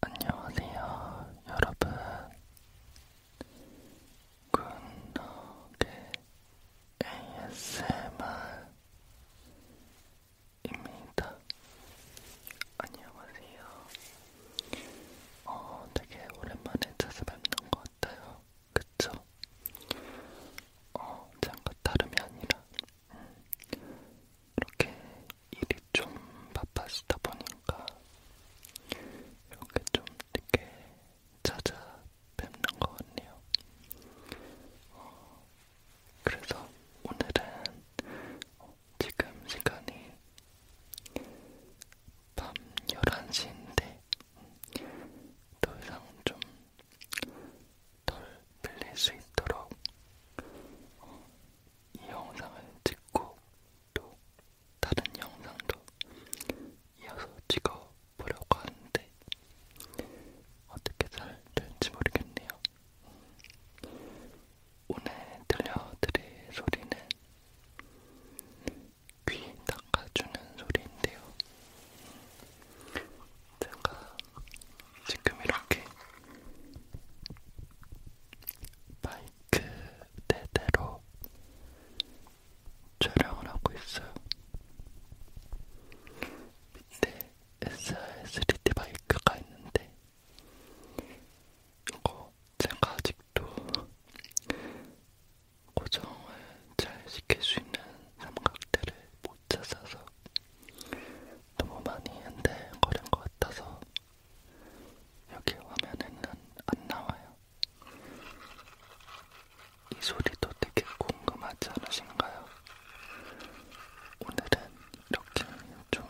안녕하세요, 여러분. 굿노게 ASMR입니다. 안녕하세요. 어, 되게 오랜만에 찾아뵙는 것 같아요. 그쵸? 어, 잠깐 다름이 아니라 음, 이렇게 일이 좀 바빴다 보니까 이렇게 좀 이렇게 찾아뵙는 것 같네요. 어, 그래서 오늘은 지금 시간이 밤 11시인데 더 이상 좀 덜 빌릴 수 있도록 어, 이 영상을 찍고 또 다른 영상도 이어서 찍어 보려고 하는데 어떻게 잘 될지 모르겠네요. 오늘 들려드릴 소리는 귀 닦아주는 소리인데요. 제가 지금 이렇게 마이크 그대대로 촬영을 하고 있어요. 밑에 SR3D 마이크가 있는데 이거 제가 아직도 고정을 잘 시킬 수 있는 삼각대를 못 찾아서 너무 많이 흔들거린 것 같아서 여기 화면에는 안 나와요. 이 소리도 되게 궁금하지 않으신가요? 오늘은 이렇게 좀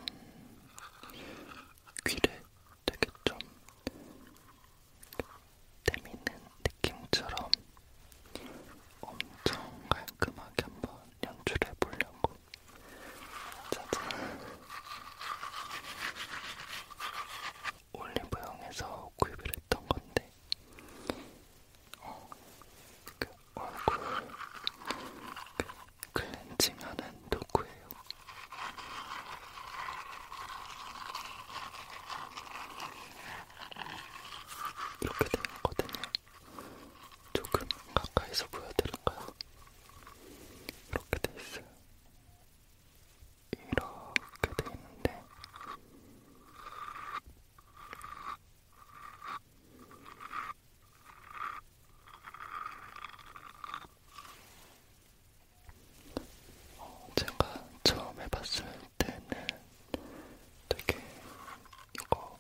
귀를 되게 좀 때미는 느낌처럼 엄청 깔끔하게 한번 연출해 보려고 짜잔. 올리브영에서 구입을 했던 건데, 어, 그 얼굴 그 클렌징하는 도구예요. 이렇게 되거든요. 조금 가까이서 보여드릴까요? 이렇게 돼 있어요. 이렇게 돼 있는데 어, 제가 처음 해봤을 때는 되게 이거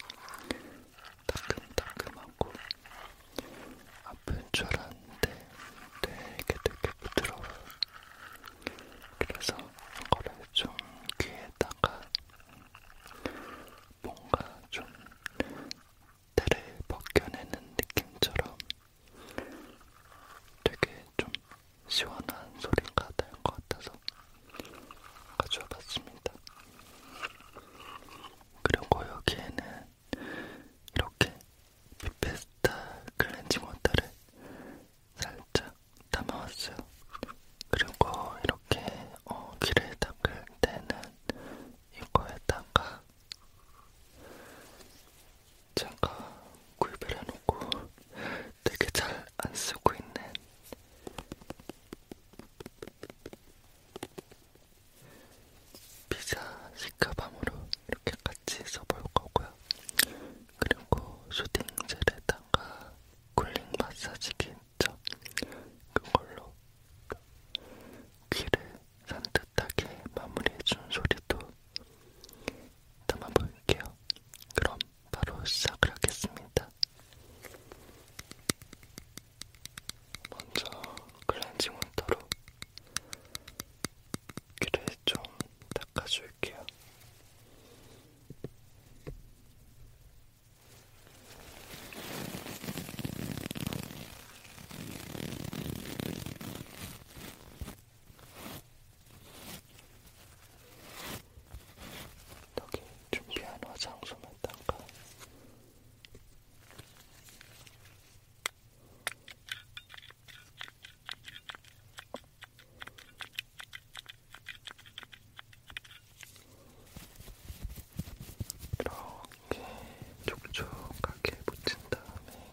따끔따끔하고 아픈 줄 알았는데 되게 되게 부드러워요. 그래서 이거를 좀 귀에다가 뭔가 좀 때를 벗겨내는 느낌처럼 되게 좀 시원한 소리가 날것 같아서 가져와봤습니다. 그리고 여기에는 이렇게 빅페스타 클렌징 워터를 살짝 담아왔어요. 그리고 이렇게 어, 귀를 닦을 때는 이거에다가 제가 구입을 해놓고 되게 잘 안 쓰고 있는 피자 식가방으로 이렇게 같이 써볼 거고요. 그리고 슈팅 젤에다가 쿨링 마사지기 있죠? 그걸로 귀를 산뜻하게 마무리해준 소리도 담아볼게요. 그럼 바로 시작을 하겠습니다. 먼저 클렌징 원터로 귀를 좀 닦아줄게요. 여기 준비한 화장솜에다가 이렇게 촉촉하게 붙인 다음에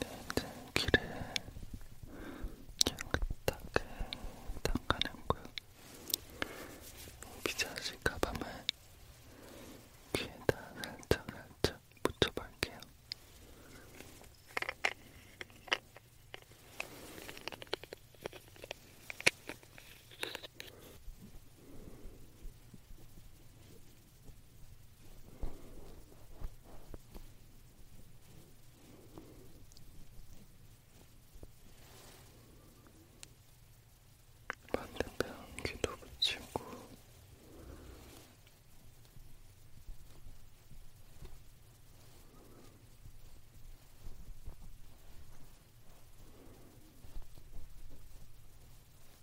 이제 귀를 깨끗하게 닦아냈고요. 비자식 가방을 귀에다 살짝 살짝 묻혀볼게요. 반대편 귀도 붙이고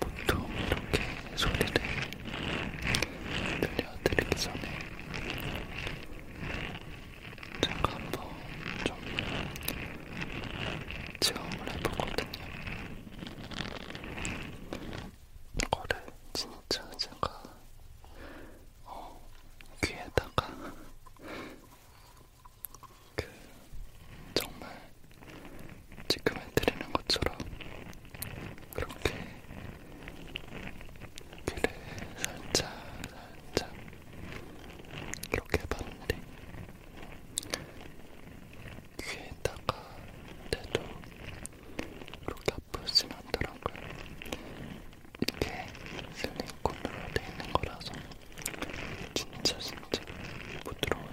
보통 이렇게 소리를 들려드리기 전에 잠깐 한번 좀 체험을 해보거든요. 이거를 진짜 제가 어, 귀에다가 그 정말 지금 해드리는 것처럼 그렇게 귀를 살짝 살짝 이렇게 해봤는데 귀에다가 대도 이렇게 아프지는 않더라고요. 이게 실리콘으로 되어 있는 거라서 진짜 진짜 부드러워요.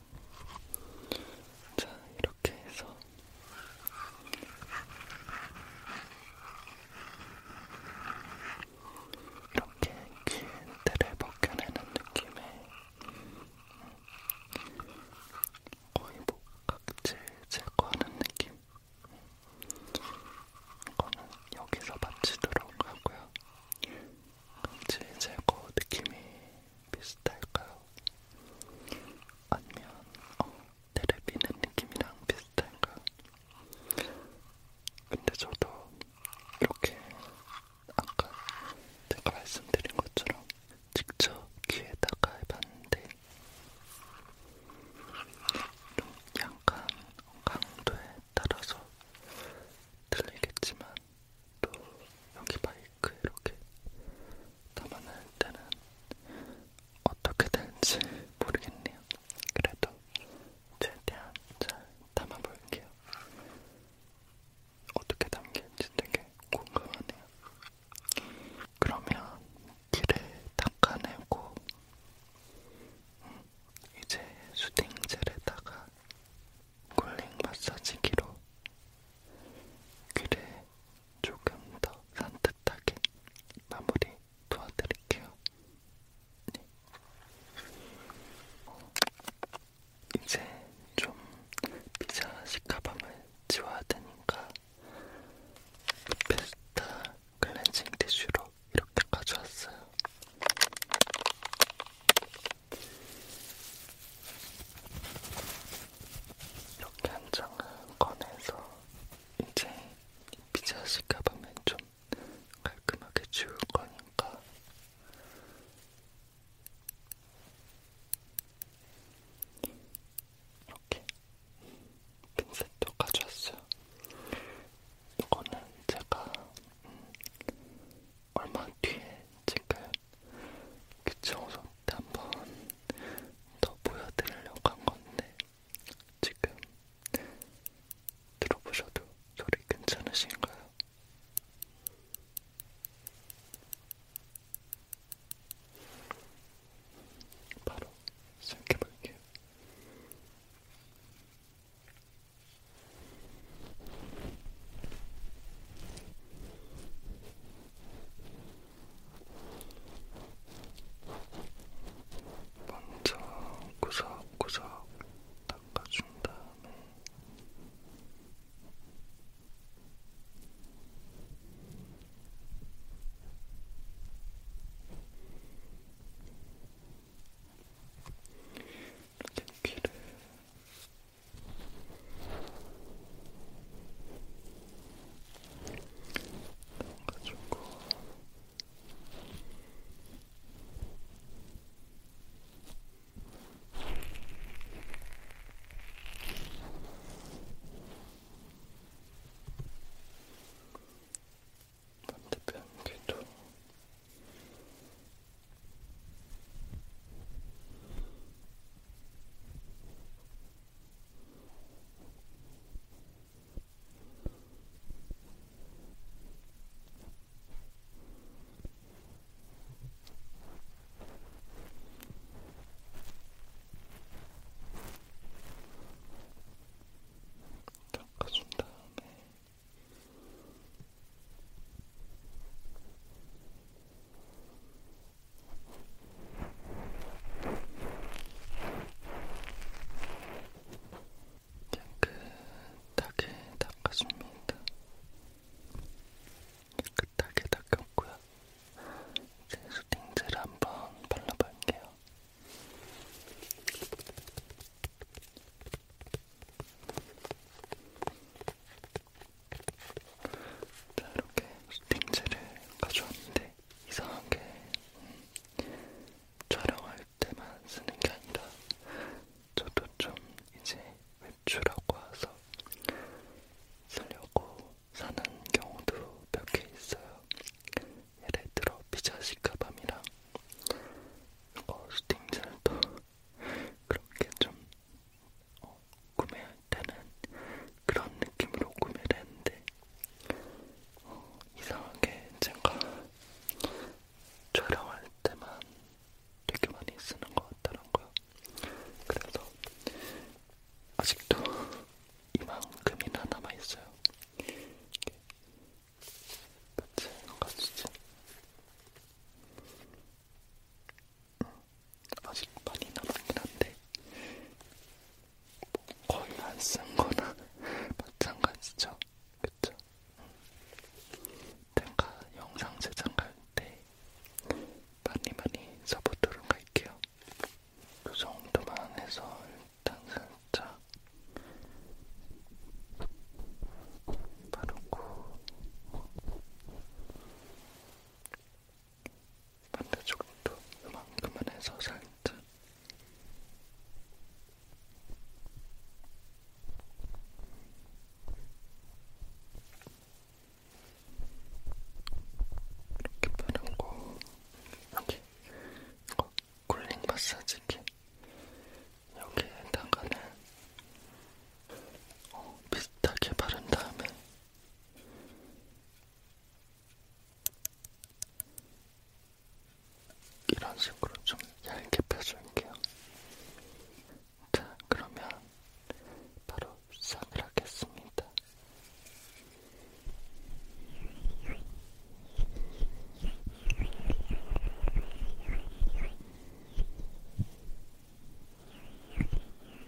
자, 이렇게 해서 이렇게 귀에 뜰을 벗겨내는 느낌에 거의 목각질 제거하는 느낌 이거는 여기서 마치도록 하고요 각질 제거 느낌이 비슷할까요? 아니면 어, 테레비는 느낌이랑 비슷할까요? 근데 저도 이렇게 아까 제가 말씀드린 것처럼 직접 귀에다가 해봤는데 좀 약간 강도에 따라서 틀리겠지만 또 여기 말려 케이크 이렇게 담아낼 때는 어떻게 될지 모르겠네요. 그래도 최대한 잘 담아볼게요. 어떻게 담길지 되게 궁금하네요. 그러면 길을 닦아내고 음, 이제 수딩젤에다가 쿨링 마사지기로 귀를 조금 더 산뜻하게 마무리 도와드릴게요. 네. 어, 이제 좀 피자 식가방을 지워야 되니까 페스타 클렌징 티슈로 이렇게 가져왔어요. 이렇게 한 장을 꺼내서 이제 피자식 가방은 좀 깔끔하게 지울 거니까 이렇게 핀셋도 가져왔어요. 이거는 제가 음, 얼마 뒤에 찍을 귀청소 때한번더 보여드리려고 한 건데 지금 들어보셔도 소리 괜찮으신가요? 바로 시작해볼게요. 음. 먼저 구석구석 닦아준 다음에 이렇게 귀를 가지고 반대편 귀도 닦아준 다음에 깨끗하게 닦아줍니다. 깨끗하게 닦였고요. 이제 네, 수딩젤 한번 발라볼게요. 자, 이렇게 스팅젤을 가져왔는데 이상하게 음, 촬영할 때만 쓰는 게 아니라 저도 좀 이제 외출하고 와서 쓰려고 사는 경우도 몇 개 있어요. 예를 들어 피자 식가밤이랑 이거 스팅젤도 그렇게 좀 어, 구매할 때는 그런 느낌으로 구매를 했는데 어, 이상하게 제가 촬영할 때만 되게 많이 쓰는 것 같더라고요. 그래서 아직도 이만큼이나 남아있어요. 같이 가지지. 음. 아직 많이 남았긴 한데 뭐 거의 안 쓴 거나 마찬가지죠. 그쵸? 제가 음. 영상 제작할 때 많이 많이 써보도록 할게요. 그 정도만 해서 일단 살짝 바르고 반대쪽도 그만큼만 해서 살짝 이렇게 바르고 여기 이거 쿨링 마사지기 여기에다가는 어, 비슷하게 바른 다음에 이런 식으로 좀 얇게 펴줄게요. 자, 그러면 바로 싹을 하겠습니다.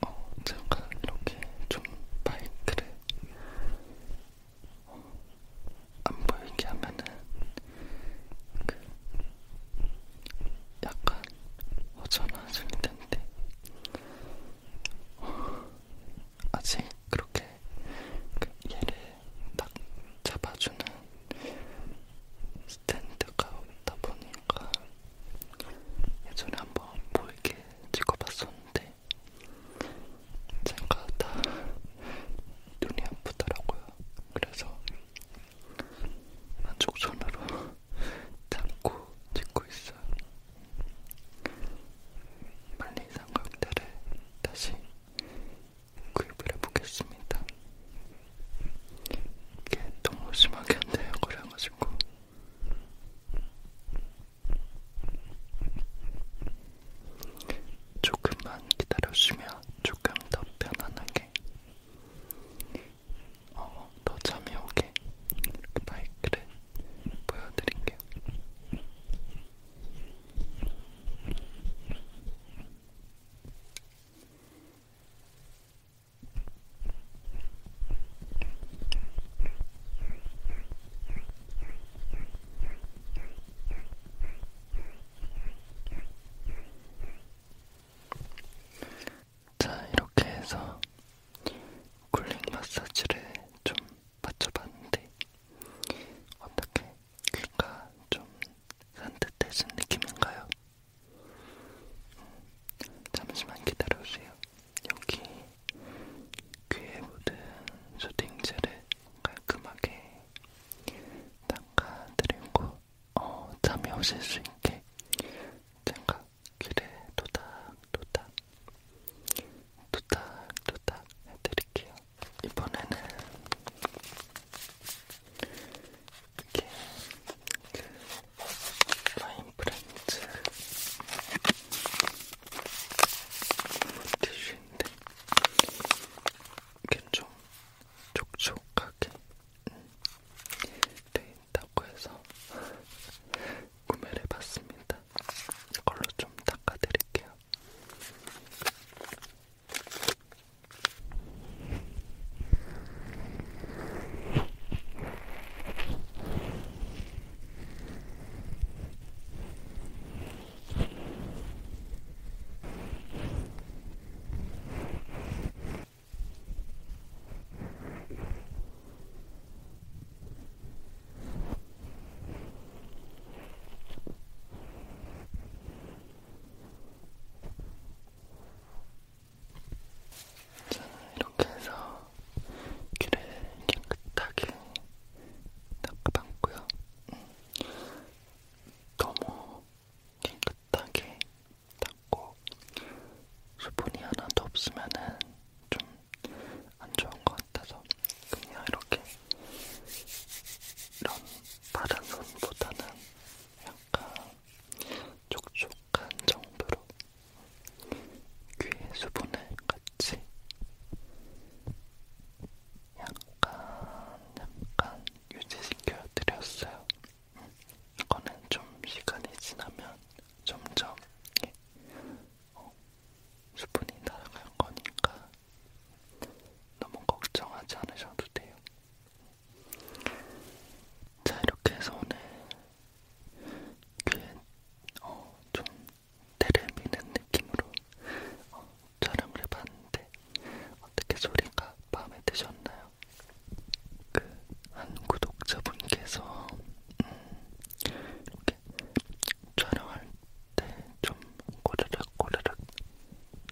어, 제가 이렇게 좀 마이크를 안 보이게 하면은 그 약간 어전화질 텐데 아직 그렇게 그 얘를 딱 잡아주는 스탠드가 없다 보니까 예전에 한번 보이게 찍어봤었는데 생각하다 눈이 아프더라고요. 그래서 한쪽 손으로 담고 찍고 있어요. 빨리 삼각대를 다시 구입을 해보겠습니다. 이게 너무 심하게 안 돼요. 그래가지고. 조금만 기다려주면 조금 더 편안하게 어, 더 잠이 오게 그 마이크를 보여드릴게요. 자, 이렇게 해서 쿨링 마사지를 좀 맞춰봤는데 어떻게 귀가 좀 산뜻해진 느낌인가요? 음, 잠시만 기다려주세요. 여기 귀에 묻은 수딩젤을 깔끔하게 닦아드리고 어, 잠이 오실 수 있게 제가 귀를 도닥도닥 도닥도닥 해드릴게요. 이번에는 이렇게 그 라인 브랜드 물티슈인데 이게 좀 촉촉하게 돼있다고 해서 구매를 해봤습니다. 이걸로 좀 닦아드릴게요. 저는 이렇게 해서 귀를 깨끗하게 닦아봤고요. 음. 너무 깨끗하게 닦고 수분이 하나도 없으면은 좀 안 좋은 것 같아서 그냥 이렇게 이런 다른 손보다는 약간 촉촉한 정도로 귀에 수분을 같이 약간 약간 유지시켜 드렸어요. 음, 이거는 좀 시간이 지나면 점점 이게 어, 수분이 날아갈 거니까 너무 걱정하지 않으셔도 돼요. 자 이렇게 해서 오늘 귀에 어, 좀 때를 미는 느낌으로 어, 촬영을 해봤는데 어떻게 소리가 마음에 드셨나요? 그 한 구독자분께서 음, 이렇게 촬영할 때좀 꼬르륵 꼬르륵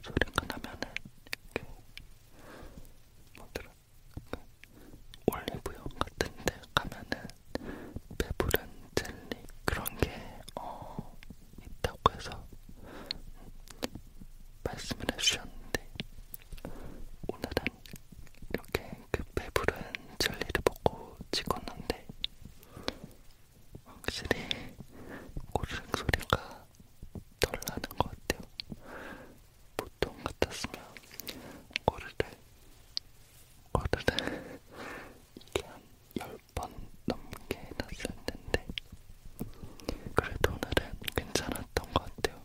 소리가 나면은 이렇게 뭐더라 그 올리브영 같은데 가면은 배부른 젤리 그런 게 어, 있다고 해서 말씀을 해주셨는데 오늘은 이렇게 그 배부른 젤리를 먹고 찍었는데 확실히 고르륵 소리가 덜 나는 것 같아요. 보통 같았으면 고르륵 고르륵 이게 한10 10번 넘게 해놨을 텐데 그래도 오늘은 괜찮았던 것 같아요.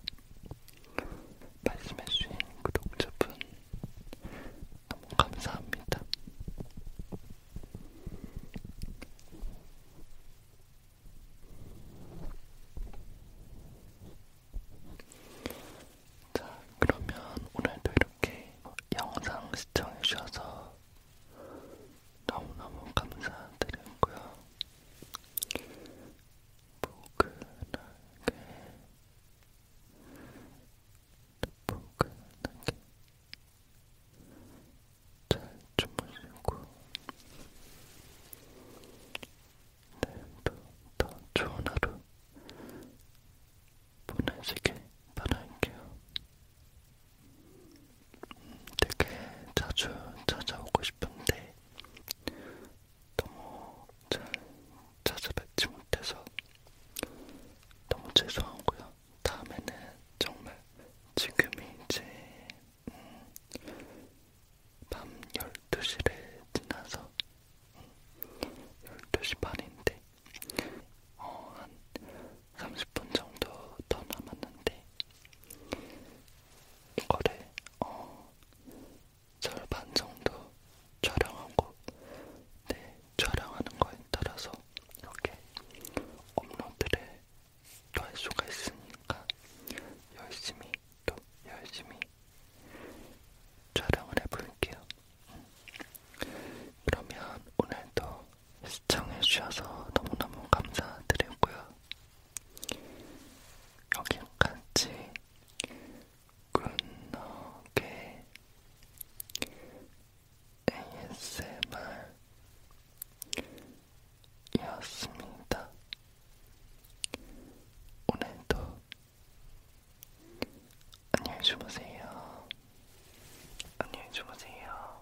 말씀해주신 구독자분 너무 감사합니다. 자, 그러면 오늘도 이렇게 영상 시청해주셔서 너무너무 감사드리고요. 포근하게, 포근하게 잘 주무시고 내일도 더 좋은 하루 보내시길 바랄게요. 되게 자주 찾아오고 싶은데 너무 잘 찾아뵙지 못해서 너무 죄송하고요. 다음에는 정말 지금이 이제 음, 밤 12시를 지나서 12시 음, 반인데 어, 한 30분 정도 더 남았는데 이거를 어, 절반 정도 촬영하고 네, 촬영하는 거에 따라서 이렇게 업로드를 또 할 수가 있으니까 열심히 또 열심히 촬영을 해볼게요. 음. 그러면 오늘도 시청해주셔서 너무너무 감사드리고요. 여기까지 굿너게 ASMR이었습니다. 오늘도 안녕히 주무세요. 안녕히 주무세요.